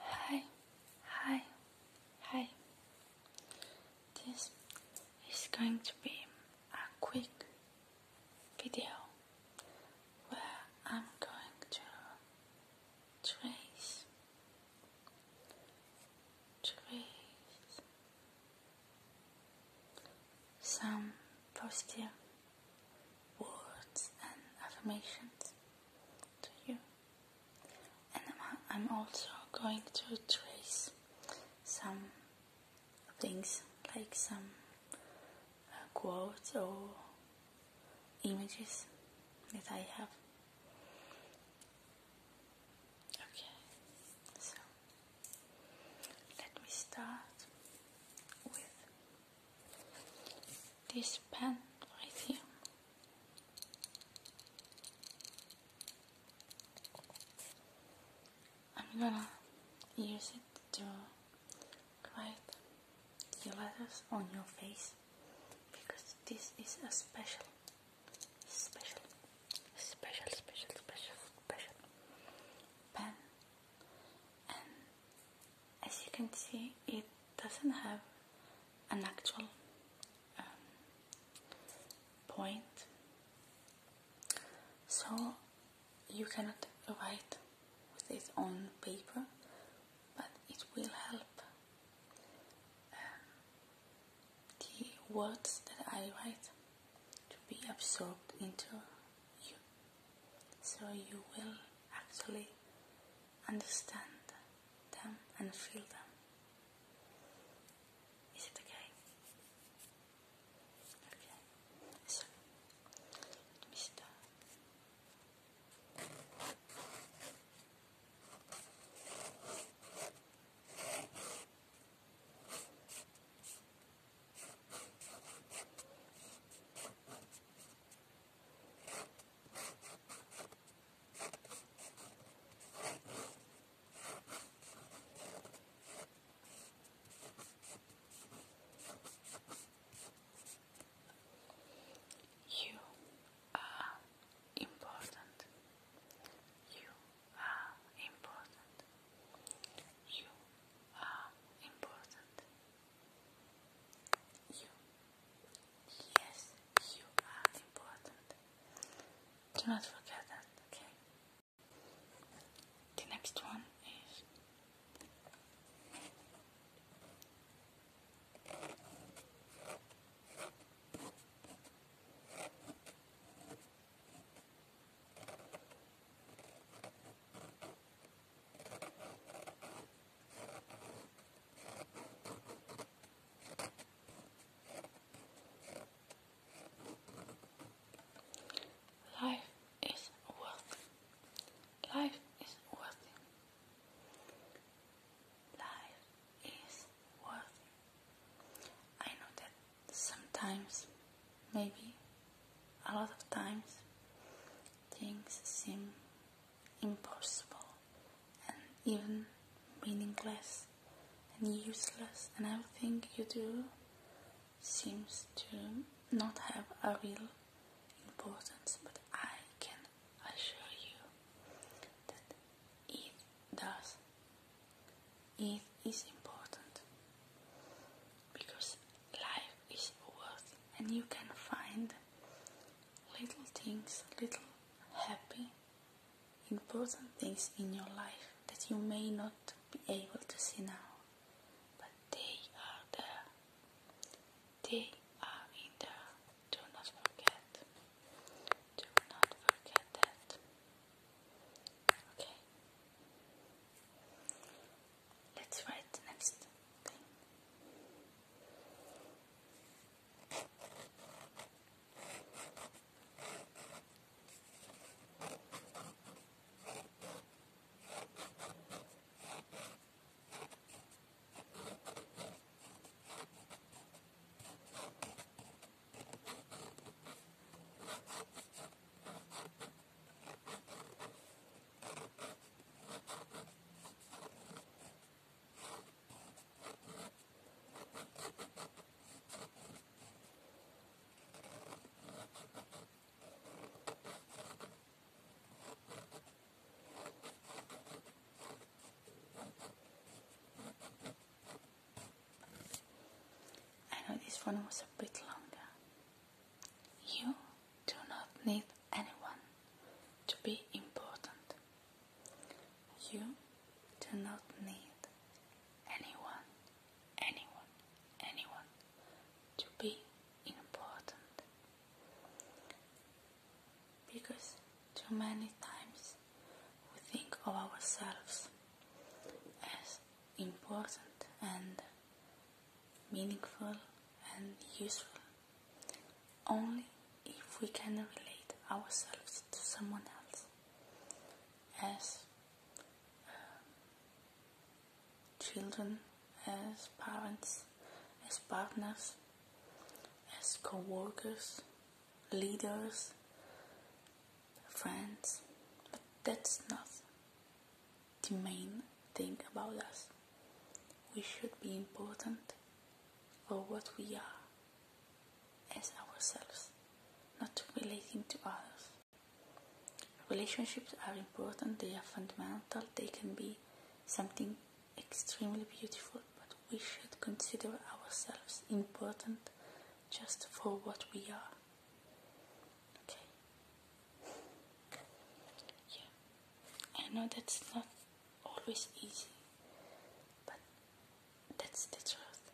Hi, hi, hi. This is going to be a quick video where I'm going to trace, some positive words and affirmations to you. And I'm also going to trace some things like some uh, quotes or images that I have. Okay, so let me start with this pen right here. I'm gonna use it to write the letters on your face because this is a special, special, special, special, special, special pen and as you can see it doesn't have an actual um, point so you cannot write with it on paper but it will help um, the words that I write to be absorbed into you so you will actually understand them and feel them. Is it okay? Okay. So let me start. You are important. You are important. You are important. You. Yes, you are important. Do not forget that, okay? The next one is. Life is worth. Life is worth. Life is worth. I know that sometimes maybe a lot of times things seem impossible and even meaningless and useless and everything you do seems to not have a real importance but I can assure you that it does it is important because life is worth and you can find little things, little happy, important things in your life that you may not be able to see now, but they are there. They are in there. Do not forget. Do not forget that. Okay. Let's write next thing. I know this one was a bit longer you do not need anyone to be important. You do not need anyone, anyone, anyone to be important. Because too many times we think of ourselves as important and meaningful and useful only if we can relate ourselves to someone else as uh, children, as parents, as partners, as co workers, leaders, friends, but that's not the main thing about us. We should be important for what we are as ourselves, not relating to others. Relationships are important, they are fundamental, they can be something extremely beautiful, but we should consider ourselves important just for what we are. Okay. Yeah. I know that's not always easy, but that's the truth.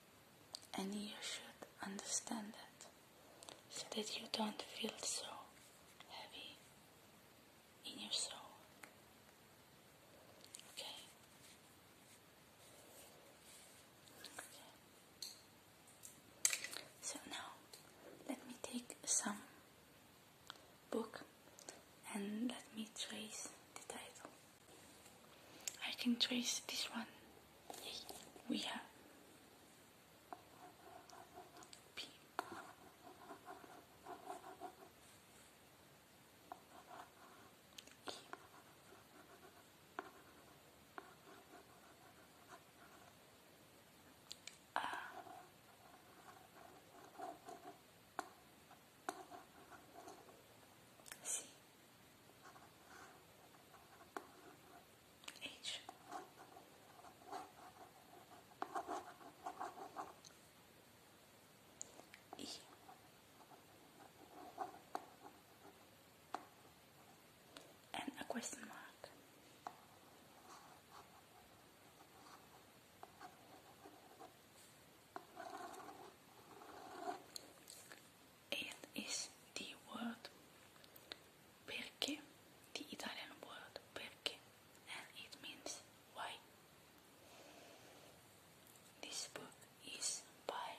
And you should understand that so that you don't feel so heavy in your soul. Okay. okay. So now let me take some book and let me trace the title. I can trace this one. We have P. Uh. C H E and a question mark. It is the word perché, the Italian word perché, and it means why. This book is by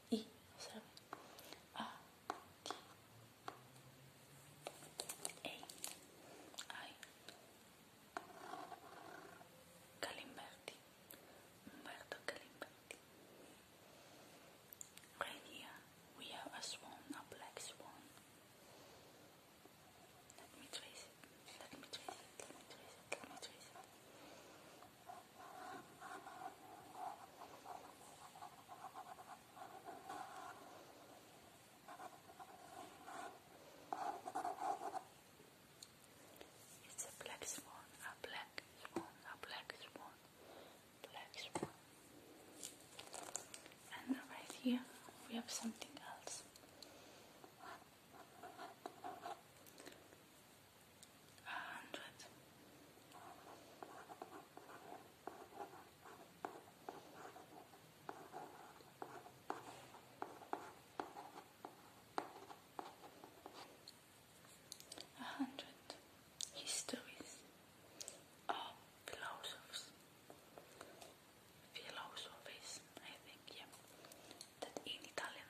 I, observe, A, T, A, I, Calimberti, Umberto Calimberti. Right we have a swan, a black swan. Let me trace let me trace let me trace let me trace it's a black swan, a black swan, a black swan, black swan. And right here we have something else hundred. A hundred histories of philosophers, philosophies, I think, yeah, that in Italian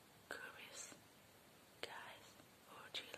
girls, guys, or children.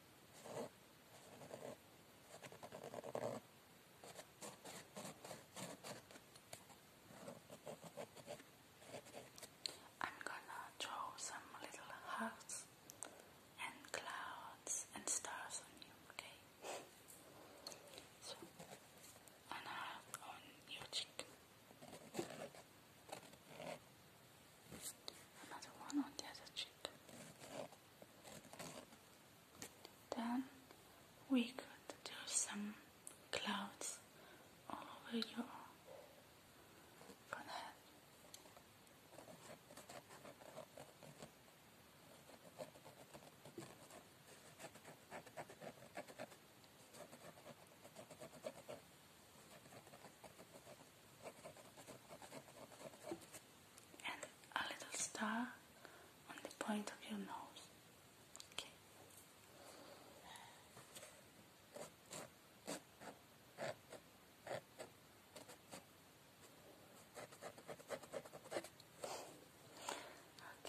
I'm gonna draw some little hearts and clouds and stars on you, okay? so, an heart on your cheek another one on the other cheek. Then we could do some clouds over your forehead and a little star on the point of your nose. Okay. Okay.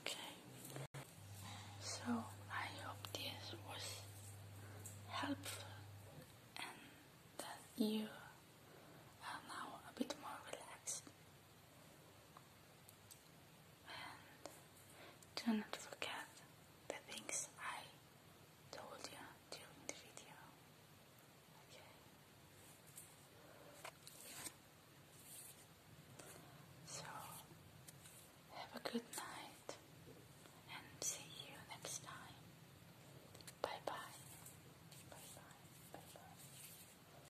Okay, so I hope this was helpful and that you are now a bit more relaxed do not forget the things I told you during the video. Okay. So, have a good night and see you next time. Bye bye. Bye bye. Bye bye.